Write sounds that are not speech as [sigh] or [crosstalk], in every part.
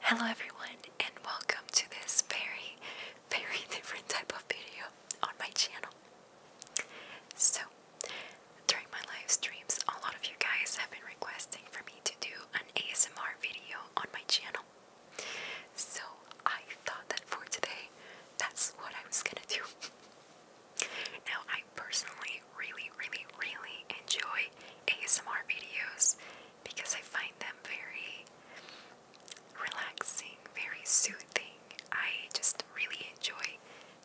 Hello everyone and welcome to this very very [laughs] different type of video on my channel. So during my live streams a lot of you guys have been requesting for me to do an ASMR video on my channel. So I thought that for today that's what I was gonna do. [laughs] now I personally really really really enjoy ASMR videos because I find them very relaxing, very soothing. I just really enjoy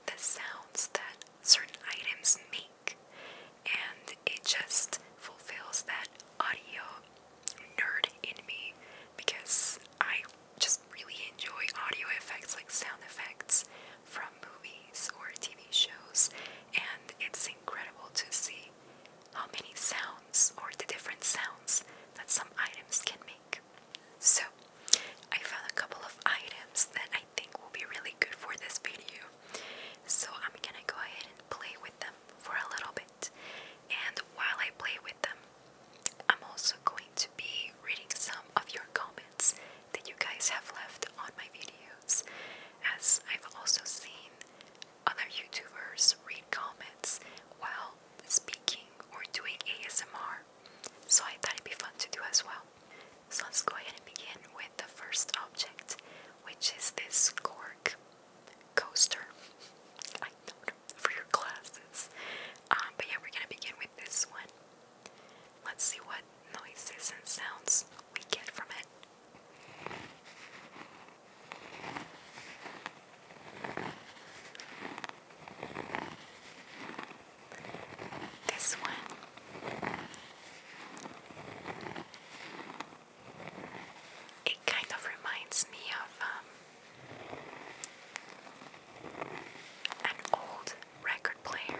the sounds that certain items make, and it just fulfills that audio nerd in me because I just really enjoy audio effects like sound effects from movies or TV shows, and it's incredible to see how many sounds or the different sounds that some items can make. So, I found a couple of items that I think will be really good for this video. So, I'm gonna go ahead and play with them for a little bit. And while I play with them, I'm also going to be reading some of your comments that you guys have left on my videos, as I've also seen other YouTubers read comments while speaking or doing ASMR. So I thought it'd be fun to do as well. So let's go ahead and begin with the first object, which is this cork coaster. for your glasses. Um, but yeah, we're gonna begin with this one. Let's see what noises and sounds we get from it. This one. It kind of reminds me of um, an old record player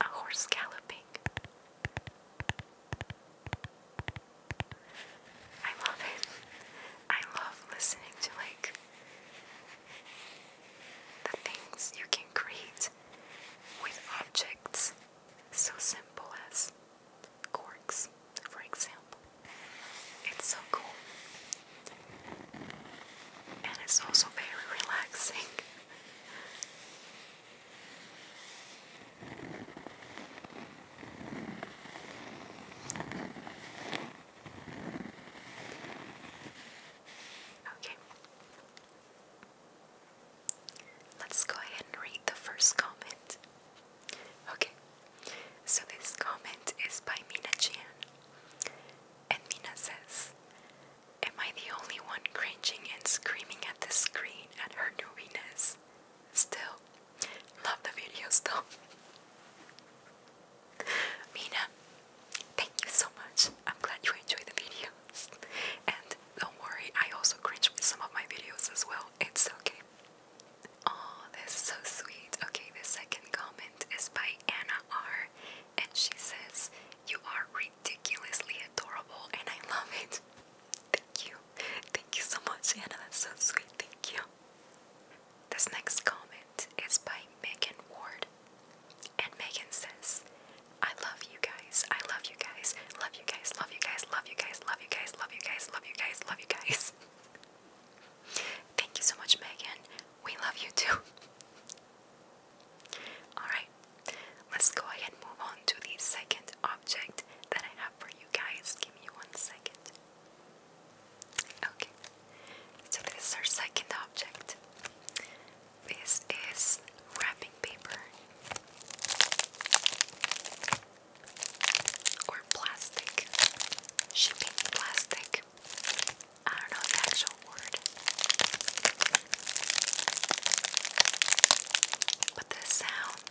A horse galloping. I love it. I love listening to like the things you can create with objects so simple as corks, for example. It's so cool. And it's also very relaxing. Okay. Let's go ahead and read the first comment. Okay, so this comment is by Mina Chan. And Mina says, Am I the only one cringing and screaming at the screen at her newiness? Still, love the videos though. [laughs] Mina, thank you so much. I'm glad you enjoyed the video, And don't worry, I also cringe with some of my videos as well. It's okay. Oh, that's so sweet. Okay, the second comment is by Anna R. And she says, You are ridiculously adorable and I love it. Thank you. Thank you so much, Anna. That's so sweet. Thank you. This next comment is by Megan Ward. And Megan says, I love you guys. I love you guys. Love you guys. Love you guys. Love you guys. Love you guys. Love you guys. Love you guys. Love you guys. Love you guys. Thank you so much, Megan. We love you too. Alright, let's go ahead and move on to the second object that I have for you guys. Give me one second. Okay, so this is our second object. This is wrapping paper or plastic, shipping plastic. I don't know the actual word. But the sound,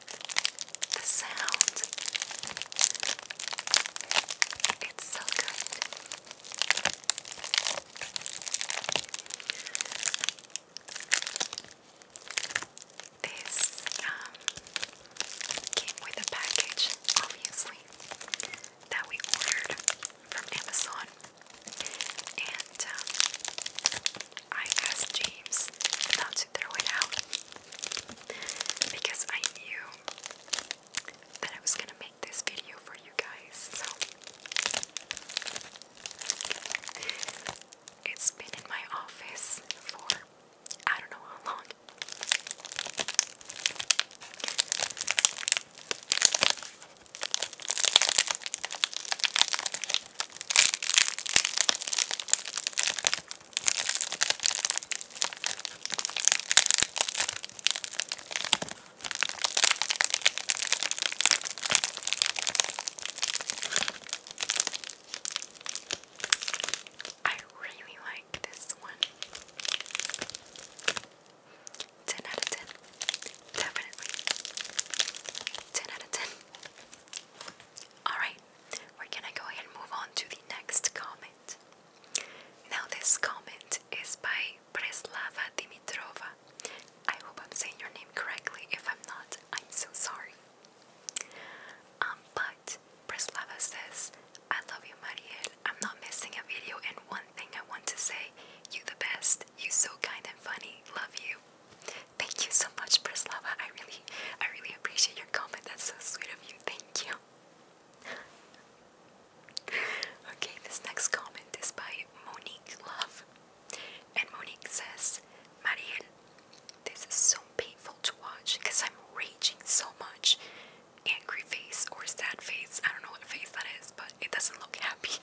the sound, it's so good. This um, came with a package, obviously, that we ordered from Amazon. And um, I asked James not to throw it out because I knew that I was gonna make this video for you guys. So it's been in my office for I don't know how long. I really like this one. 10 out of 10. Definitely. 10 out of 10. Alright, we're gonna go ahead and move on to the next comment. Now, this comment is by Preslava Dimitrova. I hope I'm saying your name correctly. If I'm not, I'm so sorry. Um, but Preslava says, I love you, Mariel. I'm not missing a video, and one thing I want to say, you the best. You so kind and funny. Love you. Thank you so much, Preslava. I really, I really appreciate your comment. That's so sweet of you. Thank you. [laughs] okay, this next comment is by Monique Love. And Monique says, Marian, this is so painful to watch because I'm raging so much. Angry face or sad face. I don't know what face that is, but it doesn't look happy.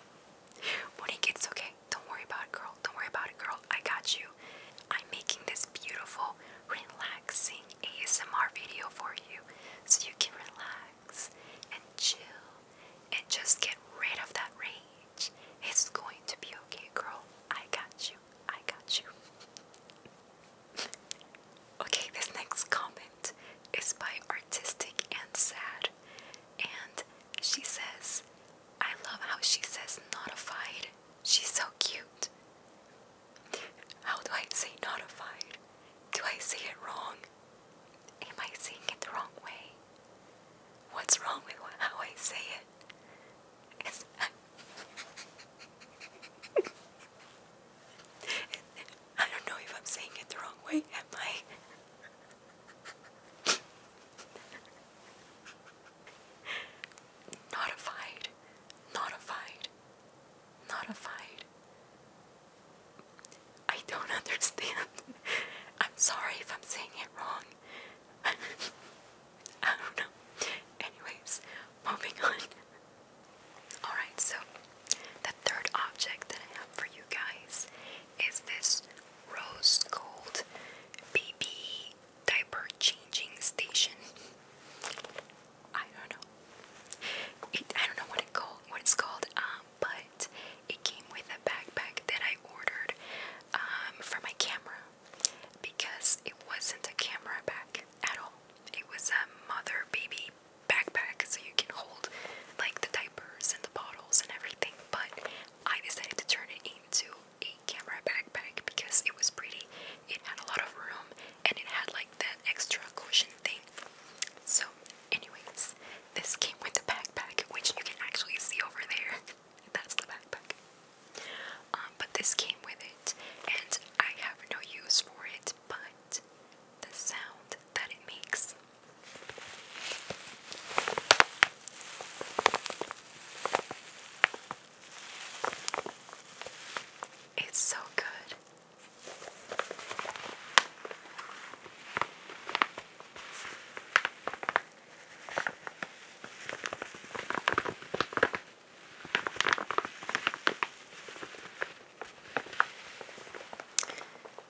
[laughs] Monique, it's okay. Don't worry about it, girl. Don't worry about it, girl. I got you. I'm making this beautiful, relaxing ASMR video for you so you can relax and chill and just get rid of that rage. It's going to be okay, girl. I got you. I got you. [laughs] okay, this next comment is by Artistic and Sad. And she says, I love how she says notified. She's so cute. How do I say notified? Do I say it wrong? Am I saying it the wrong way? What's wrong with how I say it? Is [laughs] I don't know if I'm saying it the wrong way, am I? notified, notified, notified, I don't [laughs] understand. I'm sorry if I'm saying it wrong. [laughs] I don't know. Anyways, moving on. Alright, so the third object that I have for you guys is this rose gold BB diaper changing station. I don't know. I don't know what it called. What it's called. Um, but it came with a backpack that I ordered um, for my camera because it wasn't a camera bag at all. It was a mother baby backpack, so you can hold like the diapers and the bottles and everything. But I decided to turn it into a camera backpack because it was pretty. It had a lot of room and it had like that extra cushion so, anyways, this came with a backpack, which you can actually see over there. [laughs] That's the backpack. Um, but this came with it, and I have no use for it, but the sound that it makes. It's so good.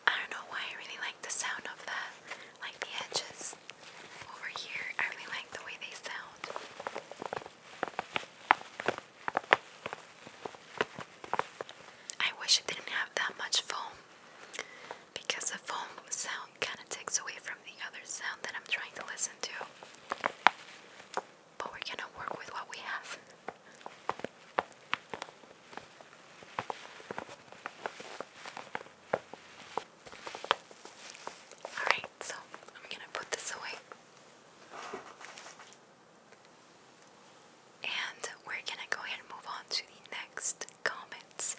I don't know why I really like the sound of the like the edges over here. I really like the way they sound. I wish it didn't have that much foam because the foam sound kind of takes away from the other sound that I'm trying to listen to. But we're gonna work with what we have. Alright, so I'm gonna put this away. And we're gonna go ahead and move on to the next comments.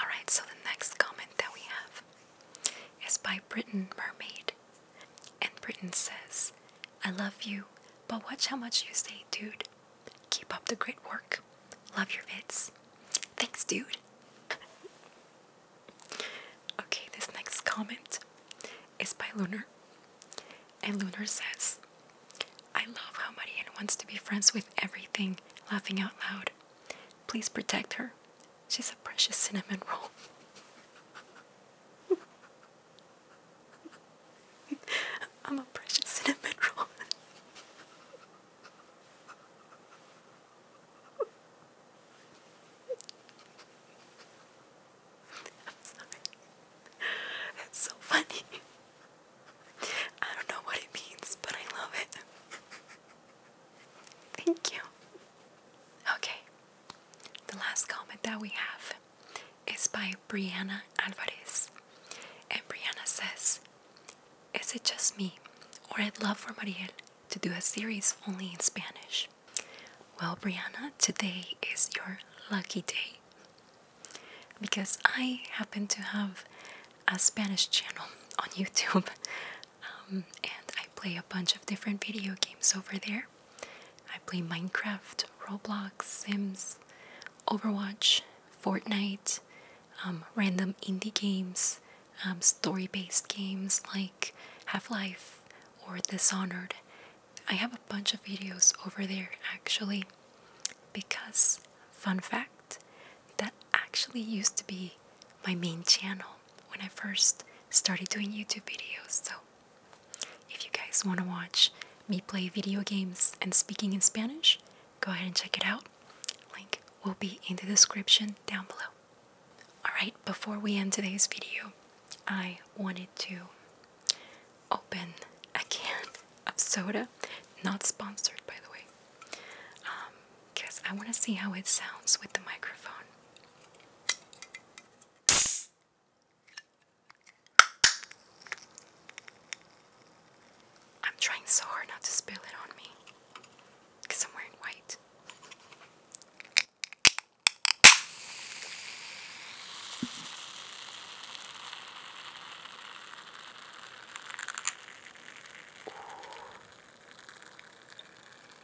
Alright, so the next comment that we have is by Britain Mermaid. And Britain says, I love you, but watch how much you say, dude. Keep up the great work. Love your vids. Thanks, dude. [laughs] okay, this next comment is by Lunar. And Lunar says, I love how Marianne wants to be friends with everything, laughing out loud. Please protect her. She's a precious cinnamon roll. [laughs] I'm a precious cinnamon roll. I'm sorry. That's so funny. I don't know what it means, but I love it. Thank you. Okay. The last comment that we have is by Brianna Alvarez. And Brianna says, Is it just me, or I'd love for Mariel to do a series only in Spanish? Well, Brianna, today is your lucky day because I happen to have a Spanish channel [laughs] on YouTube um, and I play a bunch of different video games over there. I play Minecraft, Roblox, Sims, Overwatch, Fortnite, um, random indie games, um, story based games like Half Life or Dishonored, I have a bunch of videos over there actually because fun fact that actually used to be my main channel when I first started doing YouTube videos. So if you guys want to watch me play video games and speaking in Spanish, go ahead and check it out. Link will be in the description down below. Alright, before we end today's video, I wanted to open a can of soda, not sponsored by the way, because um, I want to see how it sounds with the microphone. I'm trying so hard not to spill it on me because I'm wearing white. Ooh.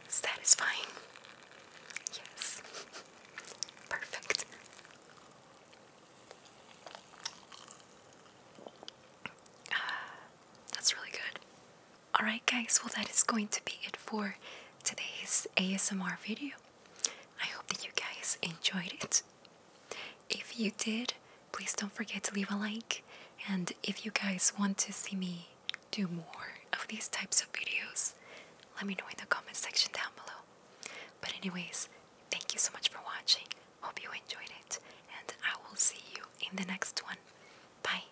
Satisfying. Yes. [laughs] Perfect. Uh, that's really good. Alright, guys, well, that is going to be it for today's ASMR video. I hope that you guys enjoyed it. If you did, please don't forget to leave a like. And if you guys want to see me do more of these types of videos, let me know in the comment section down below. But, anyways, thank you so much for watching. Hope you enjoyed it. And I will see you in the next one. Bye.